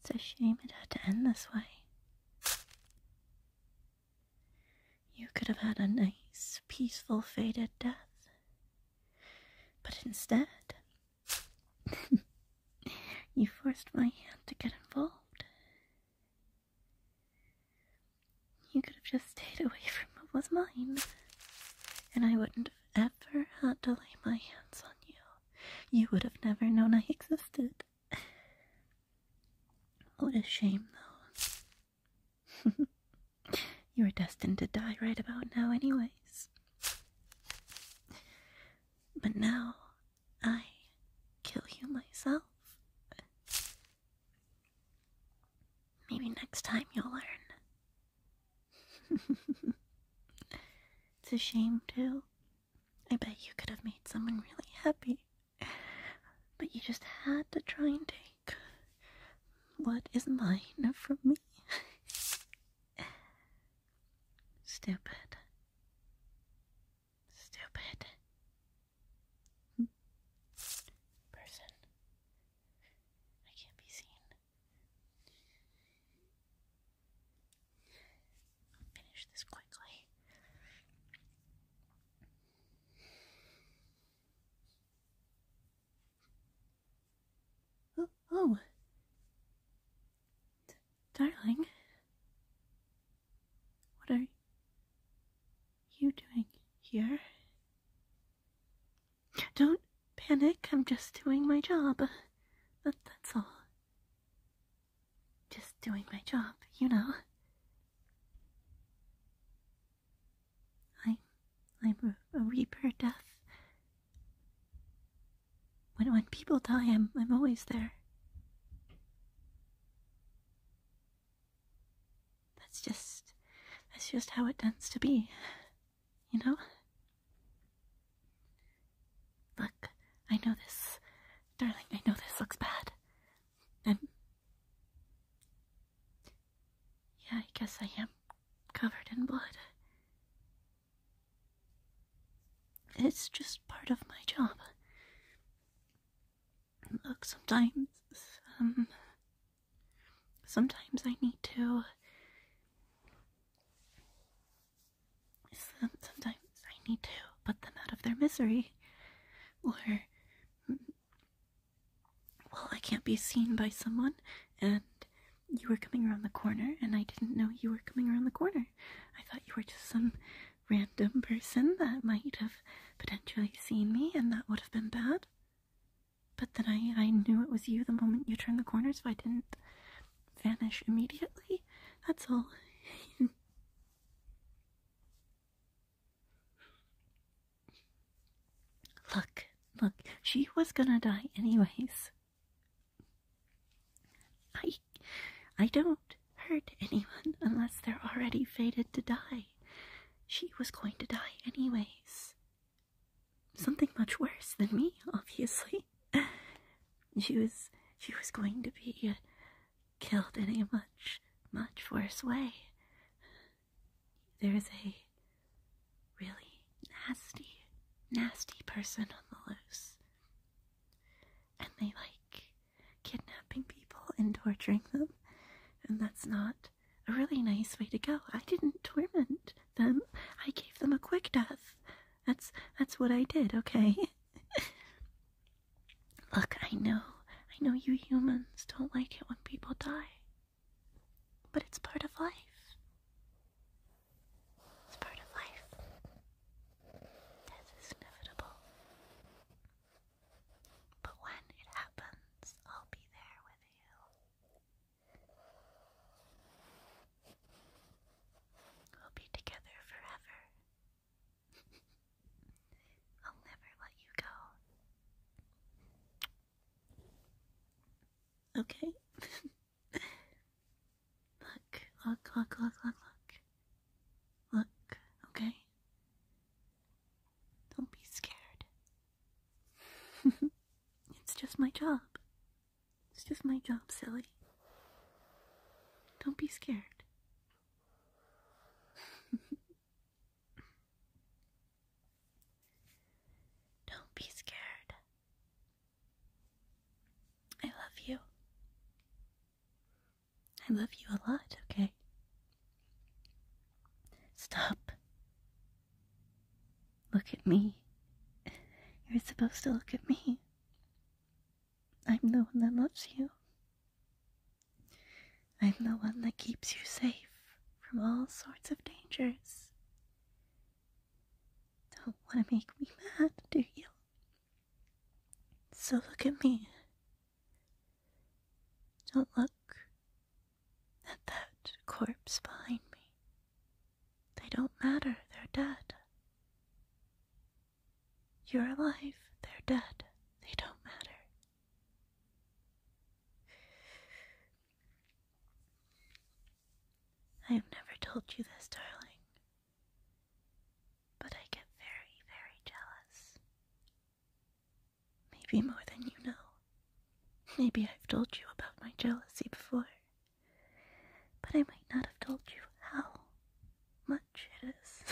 It's a shame it had to end this way. You could have had a nice, peaceful, faded death. But instead, you forced my hand to get involved. You could have just stayed away from what was mine, and I wouldn't if have ever had to lay my hands on you, you would have never known I existed. What a shame, though. you were destined to die right about now, anyways. But now I kill you myself. Maybe next time you'll learn it's a shame, too. I bet you could have made someone really happy. But you just had to try and take what is mine from me. Stupid. Stupid. Hmm. Person. I can't be seen. finish this quickly. Oh, oh. darling, what are you doing here? Don't panic, I'm just doing my job. That, that's all. Just doing my job, you know. I, I'm a, a reaper death. When, when people die, I'm, I'm always there. That's just that's just how it tends to be. You know? Look, I know this. Darling, I know this looks bad. I'm Yeah, I guess I am covered in blood. It's just part of my job. Look, sometimes, um, sometimes I need to. Sometimes I need to put them out of their misery. Or, well, I can't be seen by someone, and you were coming around the corner, and I didn't know you were coming around the corner. I thought you were just some random person that might have potentially seen me, and that would have been bad. But then I, I knew it was you the moment you turned the corner, so I didn't vanish immediately. That's all. look, look, she was gonna die anyways. I, I don't hurt anyone unless they're already fated to die. She was going to die, anyways. Something much worse than me, obviously. She was she was going to be uh, killed in a much, much worse way. There's a really nasty, nasty person on the loose. And they like kidnapping people and torturing them, and that's not a really nice way to go. I didn't torment them. I gave them a quick death. That's that's what I did, okay? Look, I know. I know you humans don't like it when people die. But it's part of life. It's part of life. Death is inevitable. But when it happens, I'll be there with you. We'll be together forever. I'll never let you go. Okay. look, look, look, look, look, look. okay? Don't be scared. it's just my job. It's just my job, silly. Don't be scared. Don't be scared. I love you. I love you a lot, okay? Stop. Look at me. You're supposed to look at me. I'm the one that loves you. I'm the one that keeps you safe from all sorts of dangers. Don't want to make me mad, do you? So look at me. Don't look at that corpse behind me. They don't matter, they're dead. You're alive, they're dead, they don't matter. I have never told you this, darling, but I get very, very jealous. Maybe more than you know. Maybe I've told you about my jealousy before, but I might not have told you how much it is.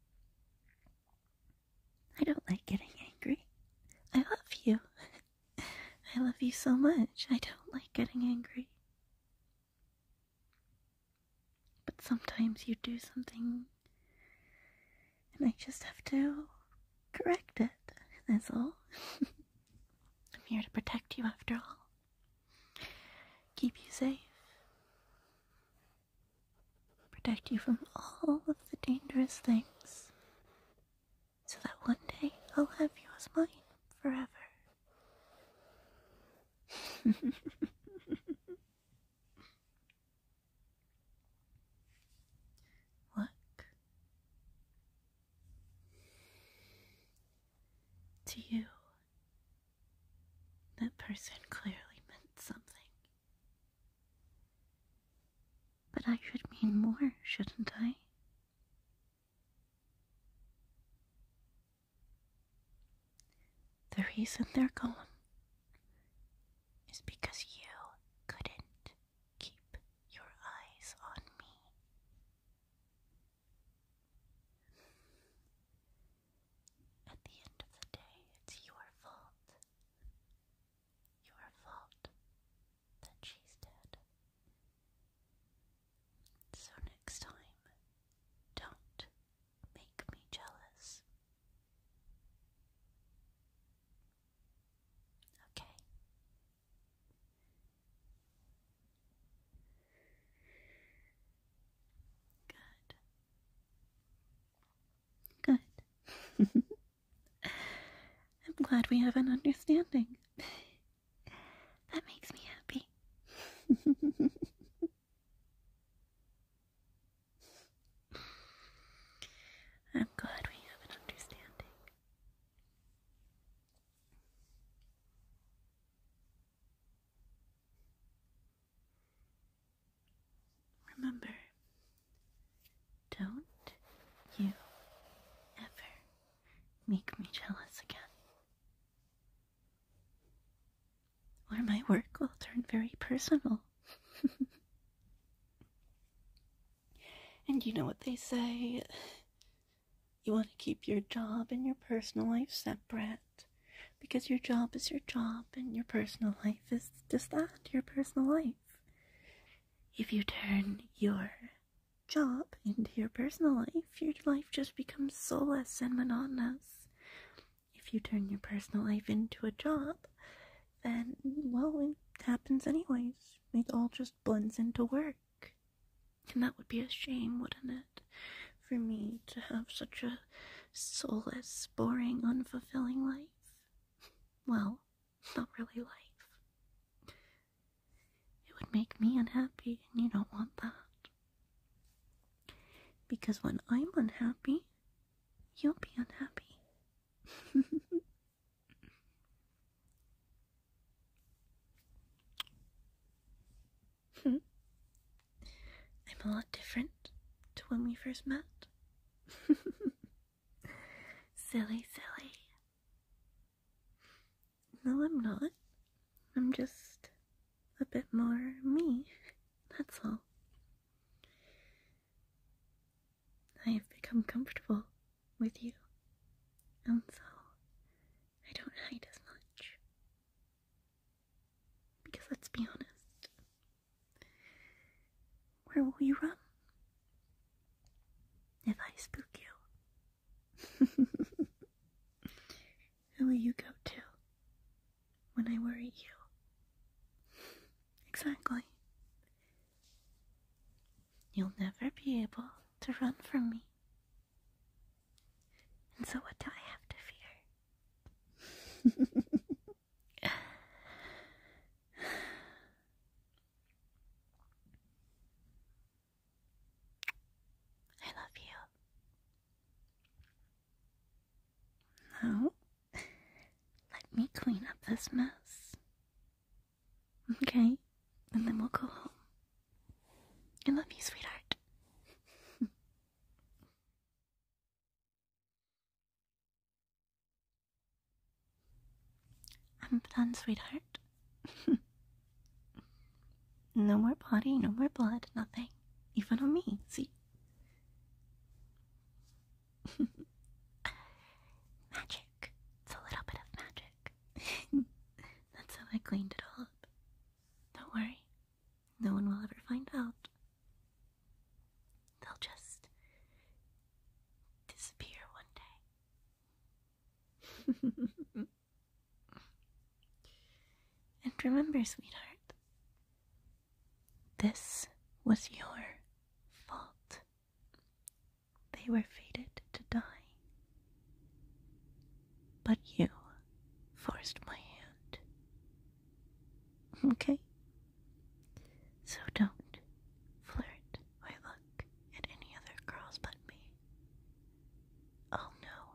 I don't like getting angry. I love you. I love you so much. I don't like getting angry. But sometimes you do something, and I just have to correct it, that's all. I'm here to protect you after all, keep you safe, protect you from all of the dangerous things, so that one day I'll have you as mine forever. Look. To you, that person clearly meant something. But I should mean more, shouldn't I? The reason they're gone is because you couldn't keep your eyes on me. At the end of the day, it's your fault. Your fault that she's dead. So next time, don't make me jealous. Okay. Good. Good. I'm glad we have an understanding. That makes me happy. I'm glad we have an understanding. Remember, don't you ever make me jealous again. Or my work will turn very personal. and you know what they say you want to keep your job and your personal life separate because your job is your job and your personal life is just that your personal life. If you turn your job into your personal life, your life just becomes soulless and monotonous. If you turn your personal life into a job, then, well, it happens anyways. It all just blends into work. And that would be a shame, wouldn't it? For me to have such a soulless, boring, unfulfilling life. Well, not really life. It would make me unhappy, and you don't want that. Because when I'm unhappy, you'll be unhappy. I'm a lot different to when we first met. silly, silly. No, I'm not. I'm just a bit more me. That's all. I have become comfortable with you, and so I don't hide as much. Because let's be honest, where will you run? If I spook you, who will you go to when I worry you? Exactly. You'll never be able to run from me. And so, what do I have to fear? I love you. Now, let me clean up this mess. Okay, and then we'll go home. I love you, sweetheart. I'm done, sweetheart. no more body, no more blood, nothing. Even on me, see? magic. It's a little bit of magic. That's how I cleaned it up. Don't worry. No one will ever find out. They'll just disappear one day. and remember, sweetheart, this was your fault. They were fated to die. But you forced my hand. Okay? So don't flirt or look at any other girls but me. Oh no.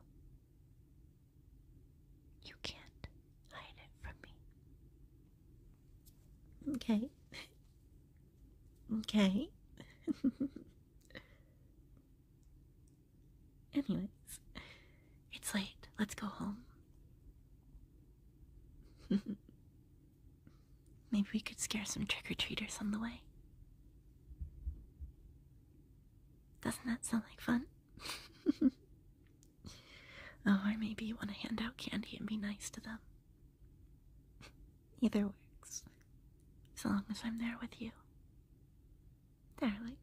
You can't hide it from me. Okay. okay. Anyways, it's late. Let's go home. Maybe we could scare some trick or treaters on the way. Doesn't that sound like fun? oh, or maybe you want to hand out candy and be nice to them. Either works. So long as I'm there with you. Darling.